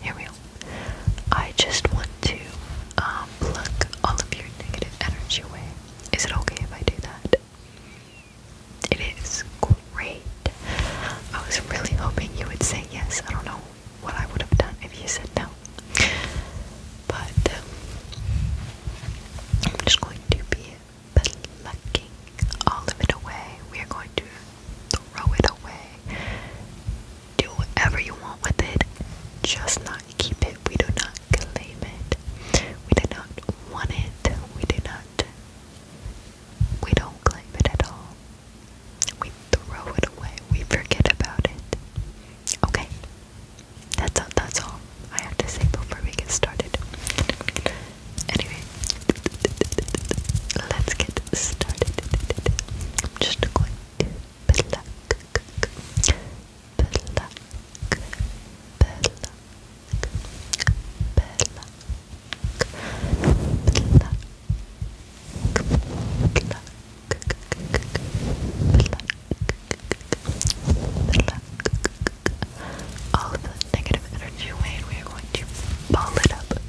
here we go. I just want to um, pluck all of your negative energy away. Is it okay if I do that? It is great. I was really hoping you would say yes. I don't know what I would have done if you said no. But um, I'm just going to be plucking all of it away. We are going to throw it away, do whatever you want with it, just not keep it. We do not claim it, we do not want it, we do not, we don't claim it at all. We throw it away, we forget about it. Okay, that's all, that's all I have to say before we get started. Anyway, let's get started. I'm just going pluck, pluck, the negative energy away, we are going to ball it up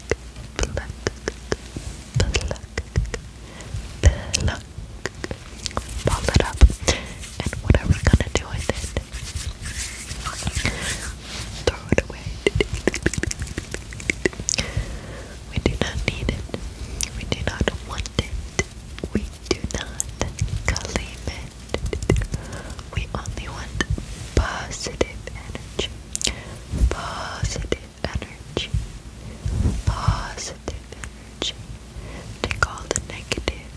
pluck, pluck, pluck, ball it up, and what gonna do with it? Throw it away. We do not need it. We do not want it. We do not claim it. We only want positive energy. Positive energy, positive energy. Take all the negative,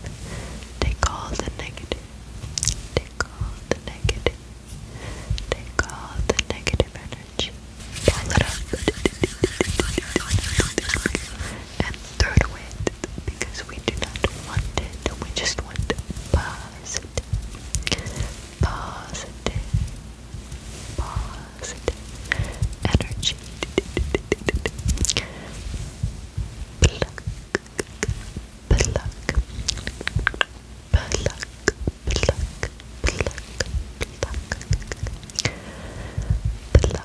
take all the negative, take all the negative, take all the negative energy, pull it up, and throw it away because we do not want it, we just want positive, positive, positive energy. Pluck, pluck, pluck, pluck, pluck, pluck, pluck. Pluck, pluck, pluck, pluck,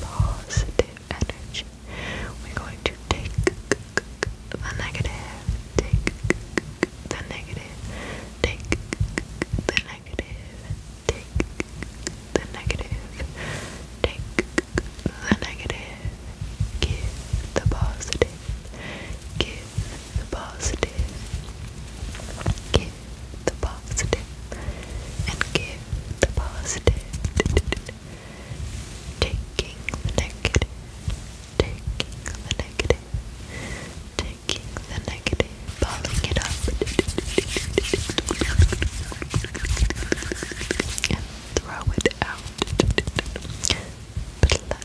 positive energy. We're going to take the negative, take the negative, take the negative, take the negative, take the negative, give the positive, give the positive, give the positive and give the positive. Taking the negative, taking the negative, taking the negative, balling it up, and throw it out. Pluck, pluck, pluck,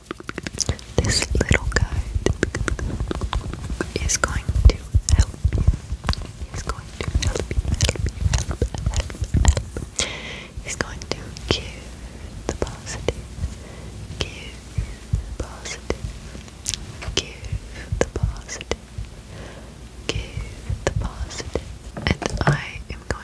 This little guy is going to help you. He's going to help you, help you, help, help, help. He's going to give the positive, give the positive, give the positive, give the And I am going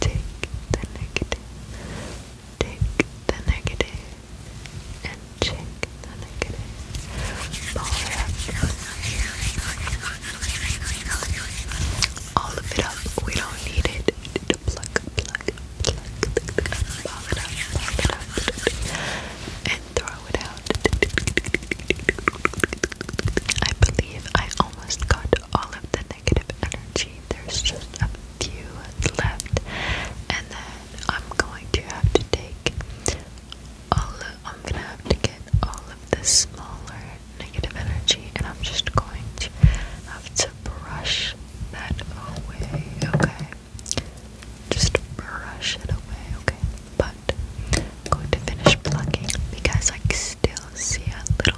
take the negative, take the negative, and check the negative. All of it up. We don't need it. Pluck, pluck, pluck. Ball it up, ball it up, and throw it out. I believe I almost got all of the negative energy. There's just a few left, and then I'm going to have to take all I'm gonna have to get all of the smaller negative energy, and I'm just going to have to brush that away, okay? Just brush it away, okay? But I'm going to finish plucking because I still see a little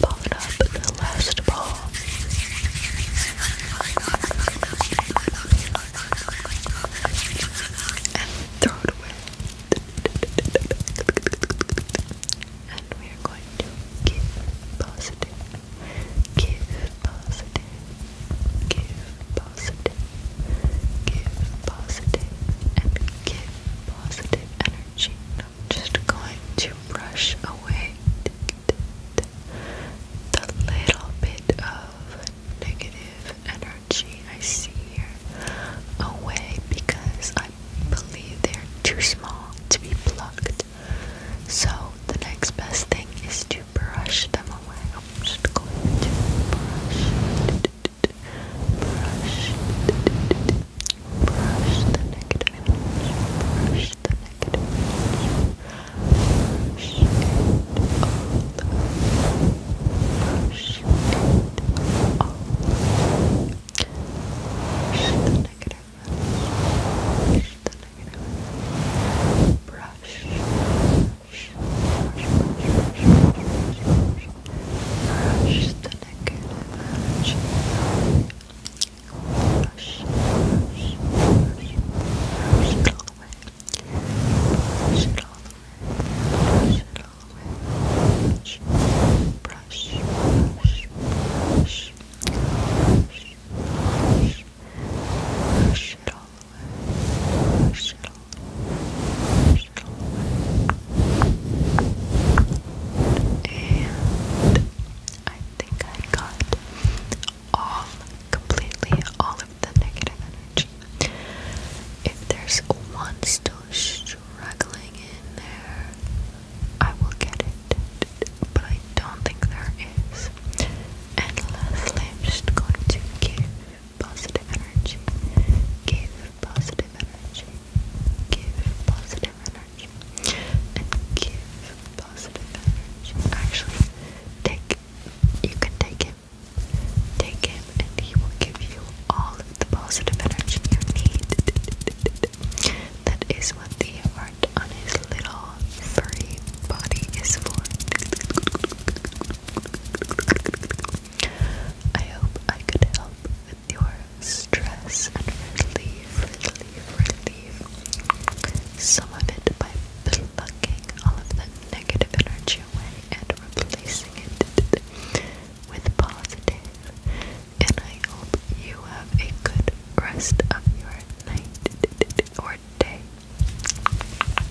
Ball it up the last ball. And throw it away. And we are going to give positive, give positive, give positive give positive, and give positive energy. I'm just going to brush away the little bit of negative energy I see here away because I believe they're too small to be plucked. So the next best thing is to brush them away. I'm just going to brush, brush, brush the negative energy, brush the negative energy, brush it all, brush it all, brush the negative energy, brush the negative energy, brush. Brush the negative energy. Brush, brush, brush, brush it all away. Brush it all away. Brush it all away. Brush, brush, brush, brush, brush, brush, brush it all and I think I got all, completely all of the negative energy. If there's one still struggling in there, I will get it, but I don't think there is. And lastly, I'm just going to give positive energy. Give positive energy. Give positive energy. And give positive energy. Actually, take you can take him. Take him and he will give you all of the positive energy you need. That is what the heart on his little furry body is for. I hope I could help with your stress relief some of it by plucking all of the negative energy away and replacing it with positive. And I hope you have a good rest of your night or day.